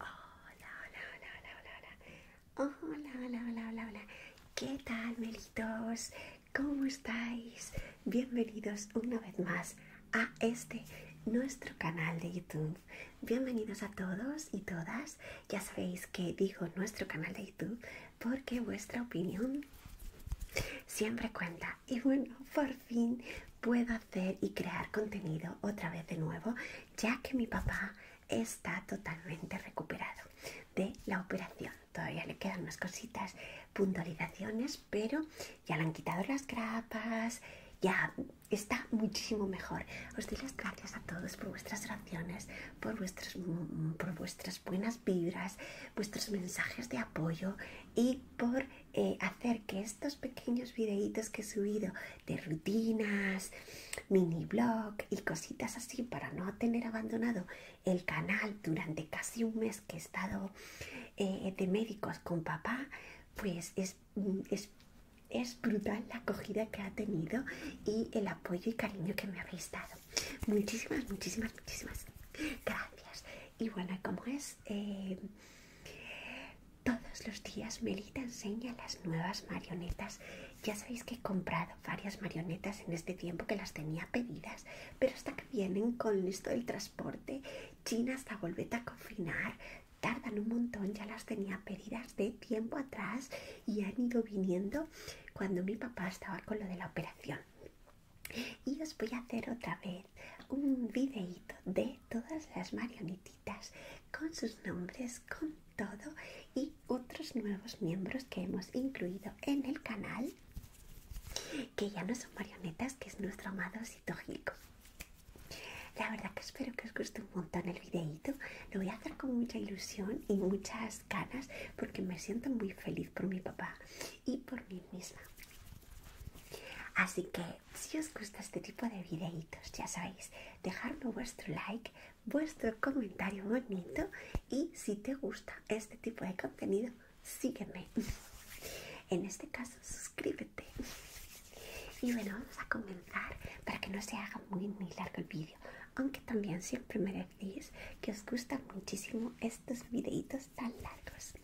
Hola, hola, hola, hola, hola, hola, hola, hola, hola, hola. ¿Qué tal, melitos? ¿Cómo estáis? Bienvenidos una vez más a este nuestro canal de YouTube. Bienvenidos a todos y todas. Ya sabéis que digo nuestro canal de YouTube porque vuestra opinión siempre cuenta y bueno, por fin puedo hacer y crear contenido otra vez de nuevo, ya que mi papá está totalmente recuperado de la operación. Todavía le quedan unas cositas, puntualizaciones, pero ya le han quitado las grapas, ya está muchísimo mejor. Os doy las gracias a todos por vuestras oraciones, por vuestras, mm, por vuestras buenas vibras, vuestros mensajes de apoyo y por eh, hacer que estos pequeños videitos que he subido de rutinas, mini blog y cositas así para no tener abandonado el canal durante casi un mes que he estado eh, de médicos con papá, pues mm, es, es, brutal la acogida que ha tenido y el apoyo y cariño que me habéis dado. Muchísimas, muchísimas, muchísimas gracias. Y bueno, como es, eh, todos los días Melita enseña las nuevas marionetas. Ya sabéis que he comprado varias marionetas en este tiempo que las tenía pedidas, pero hasta que vienen con esto del transporte, China hasta volvete a confinar, tardan un montón, ya las tenía pedidas de tiempo atrás y han ido viniendo cuando mi papá estaba con lo de la operación. Y os voy a hacer otra vez un videito de todas las marionetitas con sus nombres, con todo y otros nuevos miembros que hemos incluido en el canal que ya no son marionetas, que es nuestro amado Gilco. La verdad que espero que os guste un montón el videito Lo voy a hacer con mucha ilusión y muchas ganas porque me siento muy feliz por mi papá y por mí misma. Así que si os gusta este tipo de videitos, ya sabéis, dejarme vuestro like, vuestro comentario bonito y si te gusta este tipo de contenido, sígueme. En este caso, suscríbete. Y bueno, vamos a comenzar para que no se haga muy, muy largo el vídeo. Aunque también siempre me decís que os gustan muchísimo estos videitos tan largos.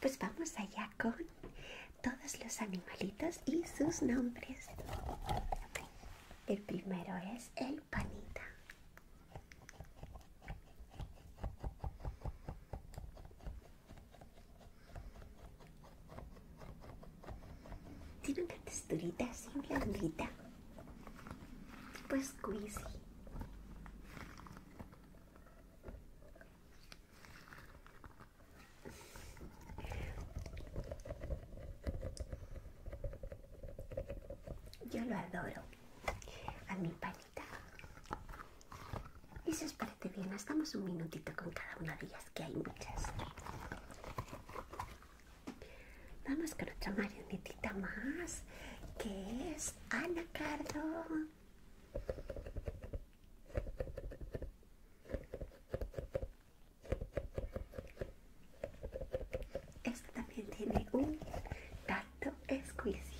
Pues vamos allá con todos los animalitos y sus nombres. El primero es el panita. Tiene una texturita así blandita. Pues squeezy. Yo lo adoro. A mi panita. Eso os parece bien. Estamos un minutito con cada una de ellas, que hay muchas. Vamos con otra marionetita más, que es Ana Cardo. Esta también tiene un dato squeezy.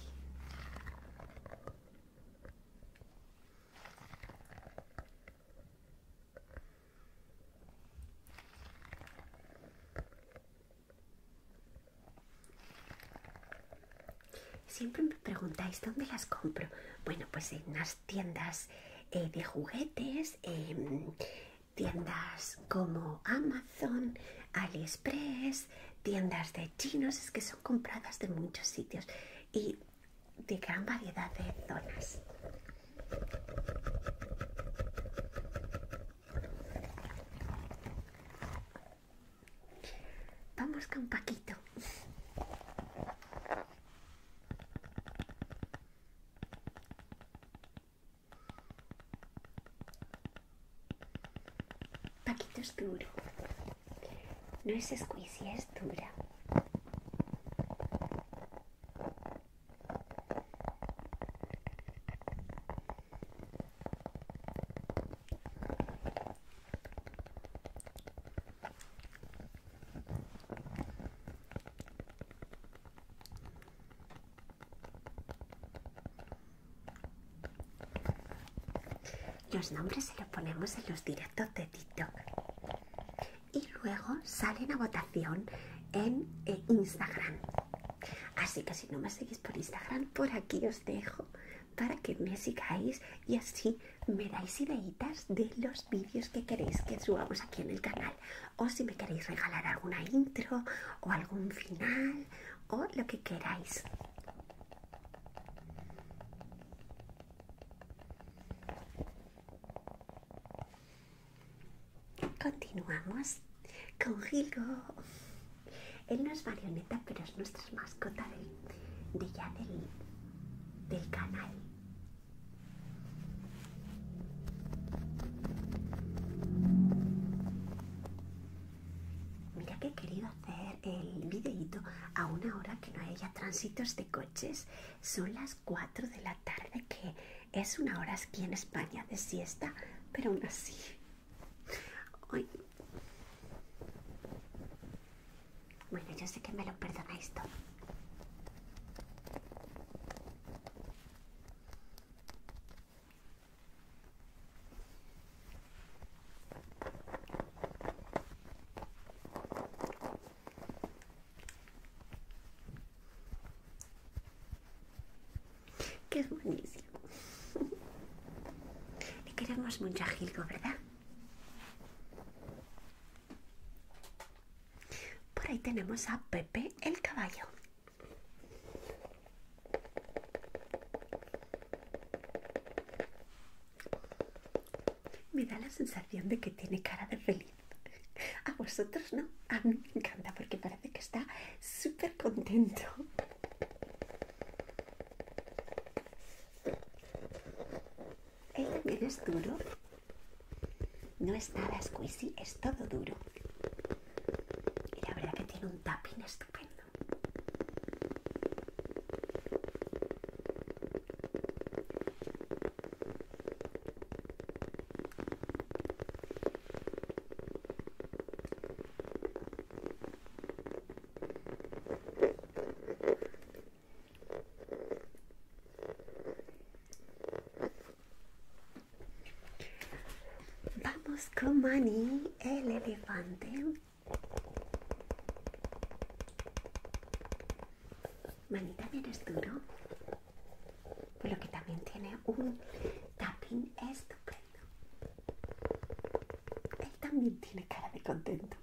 Siempre me preguntáis dónde las compro. Bueno, pues en las tiendas eh, de juguetes, em, tiendas como Amazon, AliExpress, tiendas de chinos, es que son compradas de muchos sitios y de gran variedad de zonas. Vamos con Paquito. Paquito es duro. No es squishy, es dura. Los nombres se los ponemos en los directos de TikTok y luego salen a votación en eh, Instagram. Así que si no me seguís por Instagram, por aquí os dejo para que me sigáis y así me dais ideas de los vídeos que queréis que subamos aquí en el canal o si me queréis regalar alguna intro o algún final o lo que queráis continuamos con Gilgo él no es marioneta, pero es nuestra mascota de, del, canal. Mira que he querido hacer el videito a una hora que no haya tránsitos de coches. Son las 4 de la tarde, que es una hora aquí en España de siesta, pero aún así bueno, yo sé que me lo perdonáis todo. Que es buenísimo. Le queremos mucho, Gilgo, ¿verdad? Por ahí tenemos a Pepe el caballo. Me da la sensación de que tiene cara de feliz. A vosotros no, a mí me encanta porque parece que está súper contento. Es es duro. No está nada es todo duro. Y la verdad que tiene un tapín estupendo. Vamos con Manny, el elefante. Manny también es duro, pero que también tiene un tapping estupendo. Él también tiene cara de contento.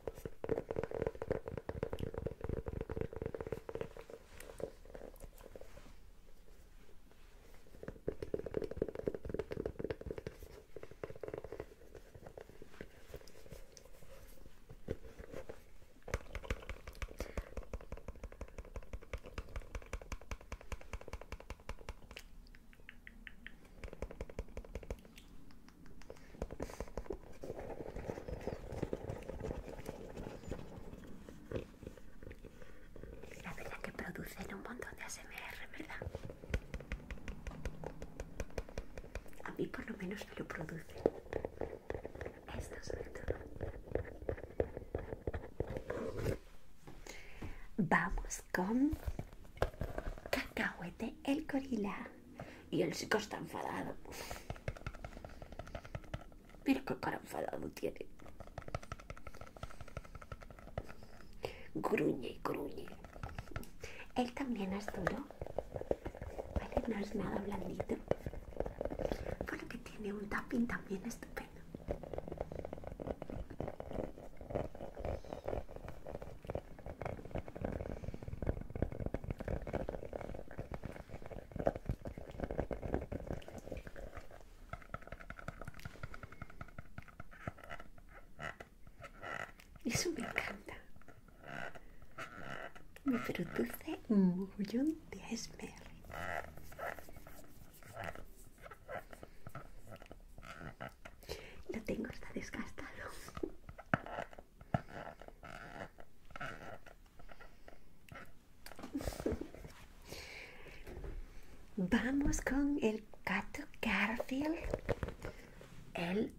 La verdad que producen un montón de ASMR, ¿verdad? A mí por lo menos me lo producen. Esto sobre todo. Vamos con Cacahuete el gorila. Y el chico está enfadado. pero qué cara enfadado tiene. Gruñe, gruñe. Él también es duro. no es nada blandito. lo que tiene un tapping también estupendo. Eso me encanta. Me produce un mogollón de ASMR. Lo tengo está desgastado. Vamos con el Cato Garfield. Él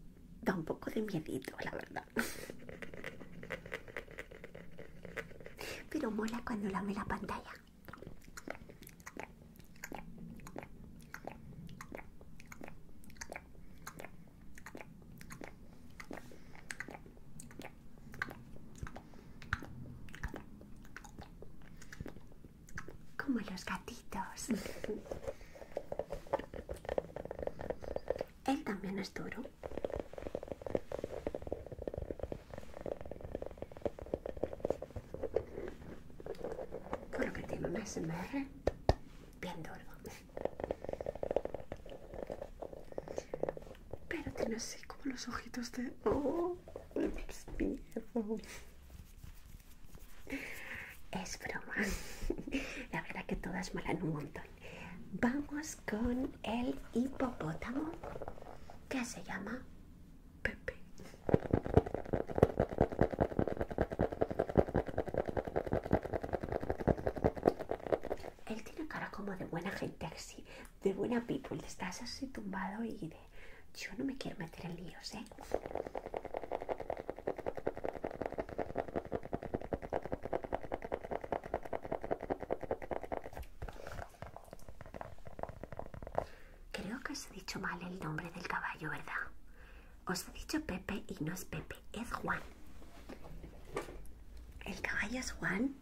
da un poco de miedito, la verdad. Pero mola cuando lame la pantalla. Como los gatitos. Él también es duro. Por lo que tiene un bien duro. Pero tiene así como los ojitos de... ¡Oh! Es broma. La verdad que todas molan un montón. Vamos con el hipopótamo que se llama Pepe. Él tiene cara como de buena gente de buena people. Estás así tumbado y de yo no me quiero meter en líos, ¿eh? Creo que se ha dicho mal el nombre del caballo, ¿verdad? Os he dicho Pepe y no es Pepe, es Juan. El caballo es Juan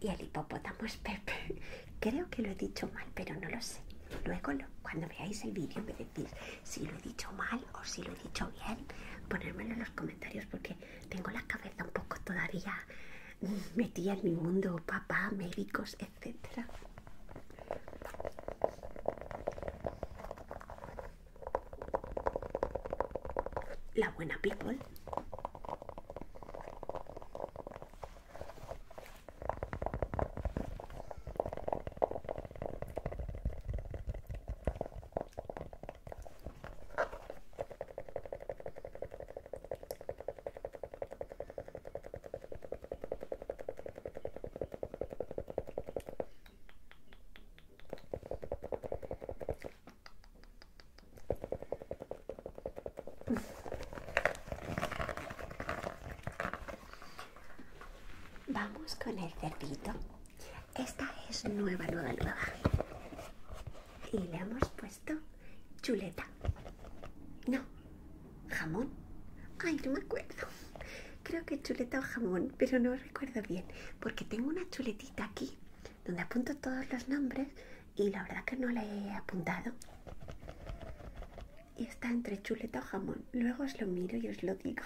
y el hipopótamo es Pepe. Creo que lo he dicho mal, pero no lo sé. Luego, cuando veáis el vídeo, me decís si lo he dicho mal o si lo he dicho bien. Ponérmelo en los comentarios porque tengo la cabeza un poco todavía metida en mi mundo papá, médicos, la buena people Vamos con el cerdito. Esta es nueva, nueva, nueva. Y le hemos puesto chuleta. No, ¿Jamón? Ay, no me acuerdo. Creo que chuleta o jamón, pero no recuerdo bien, porque tengo una chuletita aquí donde apunto todos los nombres y la verdad que no la he apuntado. Y está entre chuleta o jamón. Luego os lo miro y os lo digo.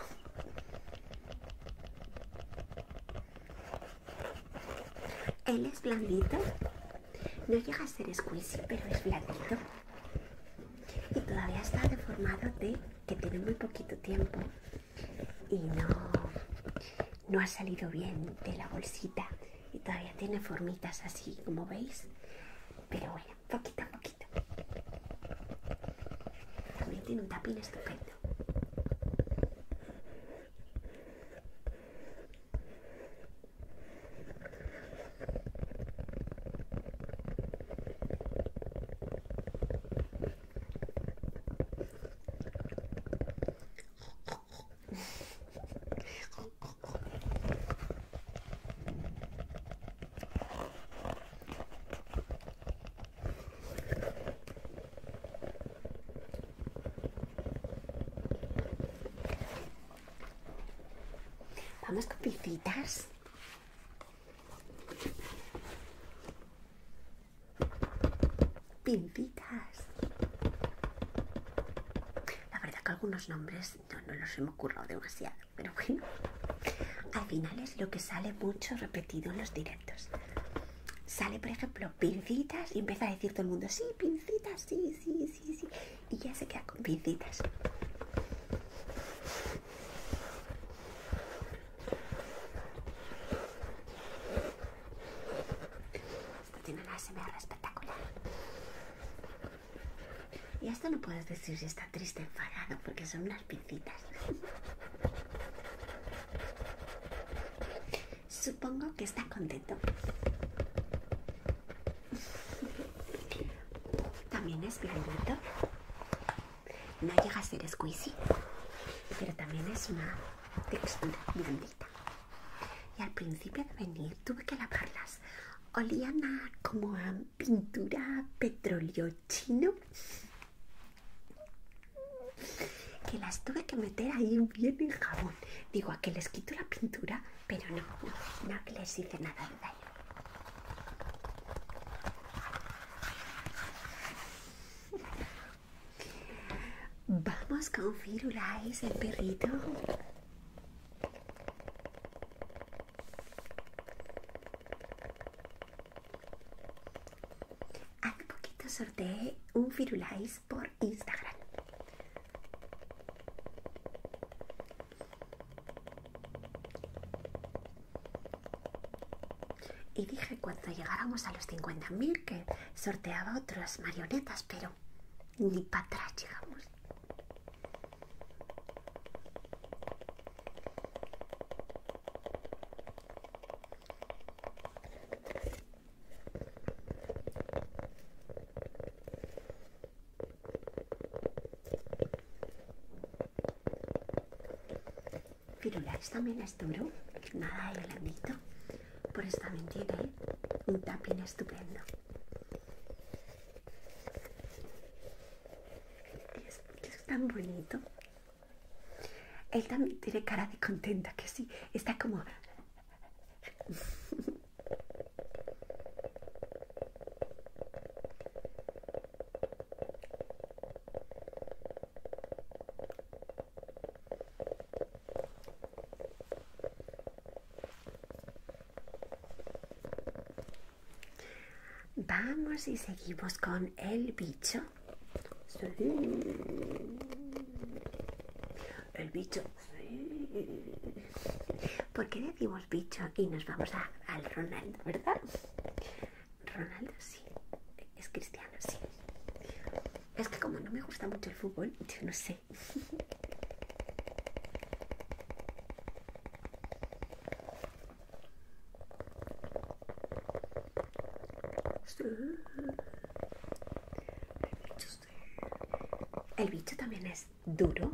Él es blandito. No llega a ser squeezy pero es blandito y todavía está deformado de que tiene muy poquito tiempo y no, no ha salido bien de la bolsita y todavía tiene formitas así como veis pero bueno poquito a poquito también tiene un tapín estupendo Vamos con Pincitas La verdad que algunos nombres no, los hemos currado demasiado, pero bueno. Al final es lo que sale mucho repetido en los directos. Sale, por ejemplo, pincitas y empieza a decir todo el mundo, sí, pincitas, sí, sí, sí, sí. Y ya se queda con pincitas. Esto tiene una SMR espectacular. Y esto no puedes decir si está triste enfadado, porque son unas pincitas. Supongo que está contento. También es blandito. No llega a ser squeezy, pero también es una textura blandita. Y al principio de venir tuve que lavarlas. Olían a como pintura petróleo chino. Que las tuve que meter ahí bien en jabón. Digo, a que les quito la pintura, pero no, no, les hice nada de Vamos con Firulais, el perrito. Hace poquito sorteé un Firulais por Instagram. Y dije cuando llegáramos a los 50.000 que sorteaba otras marionetas, pero ni para atrás llegamos. Firulais también es duro, nada de blandito, por esta también tiene un tapín estupendo. Es, es tan bonito. Él también tiene cara de contenta, que sí, está como... Vamos y seguimos con el bicho. El bicho. ¿Por qué decimos bicho y nos vamos a, al Ronaldo, ¿verdad? Ronaldo sí, es cristiano, sí. Es que como no me gusta mucho el fútbol, yo no sé. El bicho también es duro.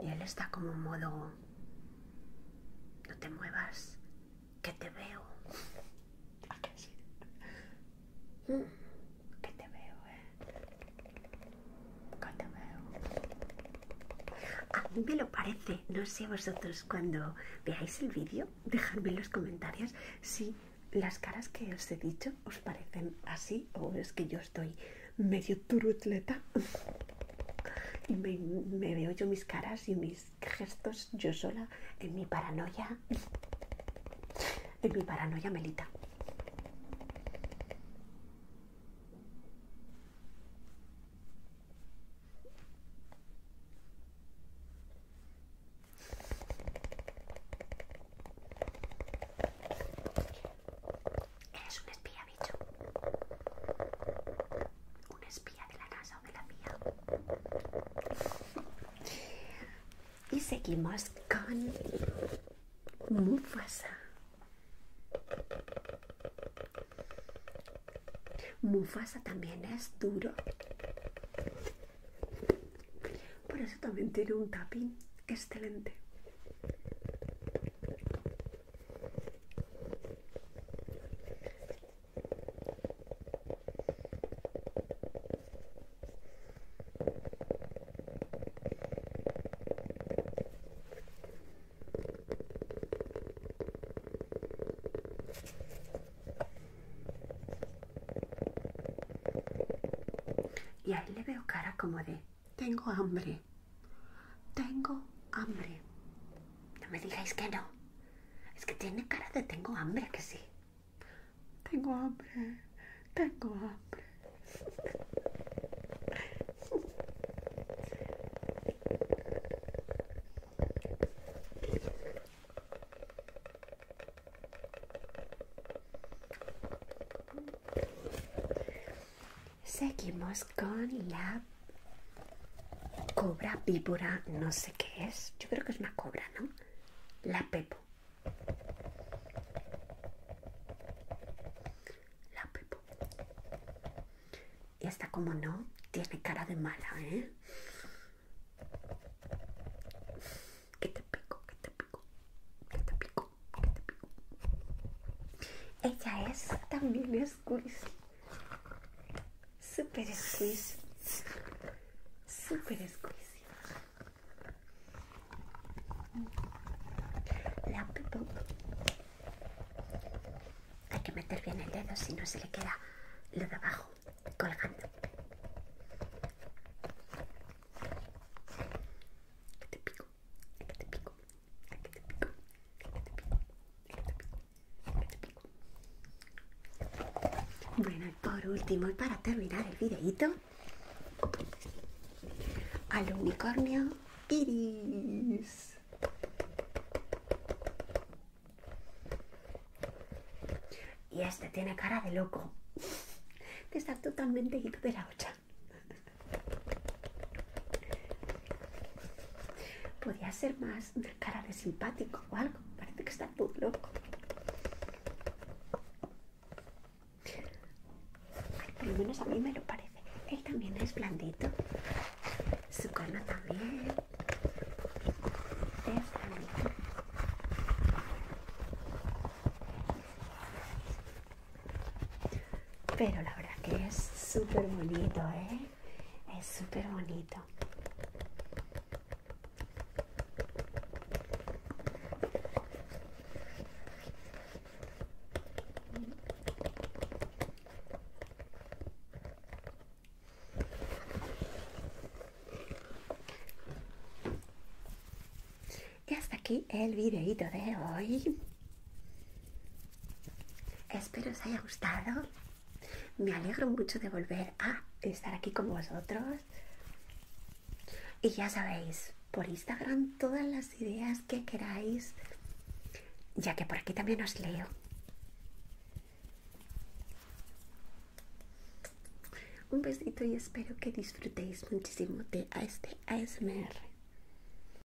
Y él está como en modo, no te muevas, que te veo. Mm, que te veo, eh. Que te veo. A mí me lo parece, no sé vosotros cuando veáis el vídeo, dejadme en los comentarios si las caras que os he dicho os parecen así o es que yo estoy medio turutleta y me, veo yo mis caras y mis gestos yo sola en mi paranoia en mi paranoia melita Eres un espía, bicho. Un espía de la casa o de la mía. Y seguimos con Mufasa. Mufasa también es duro. Por eso también tiene un tapín excelente. Y ahí le veo cara como de tengo hambre. Tengo hambre. No me digáis que no. Es que tiene cara de tengo hambre que sí. Tengo hambre. Tengo hambre. Seguimos con la cobra, víbora, no sé qué es. Yo creo que es una cobra, ¿no? La pepo. La pepo. Y esta, como no, tiene cara de mala, ¿eh? ¿Qué te pico, ¿Qué te pico, ¿Qué te pico, ¿Qué te pico. Ella es también squeeze. Super squeeze. Super squeeze. La pipo Hay que meter bien el dedo, si no se le queda lo de abajo colgando. Que te pico. Bueno, y por último, y para terminar el videito, al unicornio iris. Y este tiene cara de loco, que está totalmente ido de la hocha Podría ser más de cara de simpático o algo. Parece que está muy loco. Al menos a mí me lo parece. Él también es blandito. Su cola también. Es blandito. Pero la verdad que es súper bonito, ¿eh? Es súper bonito. Y hasta aquí el videito de hoy. Espero os haya gustado. Me alegro mucho de volver a estar aquí con vosotros. Y ya sabéis, por Instagram todas las ideas que queráis, ya que por aquí también os leo. Un besito y espero que disfrutéis muchísimo de este ASMR.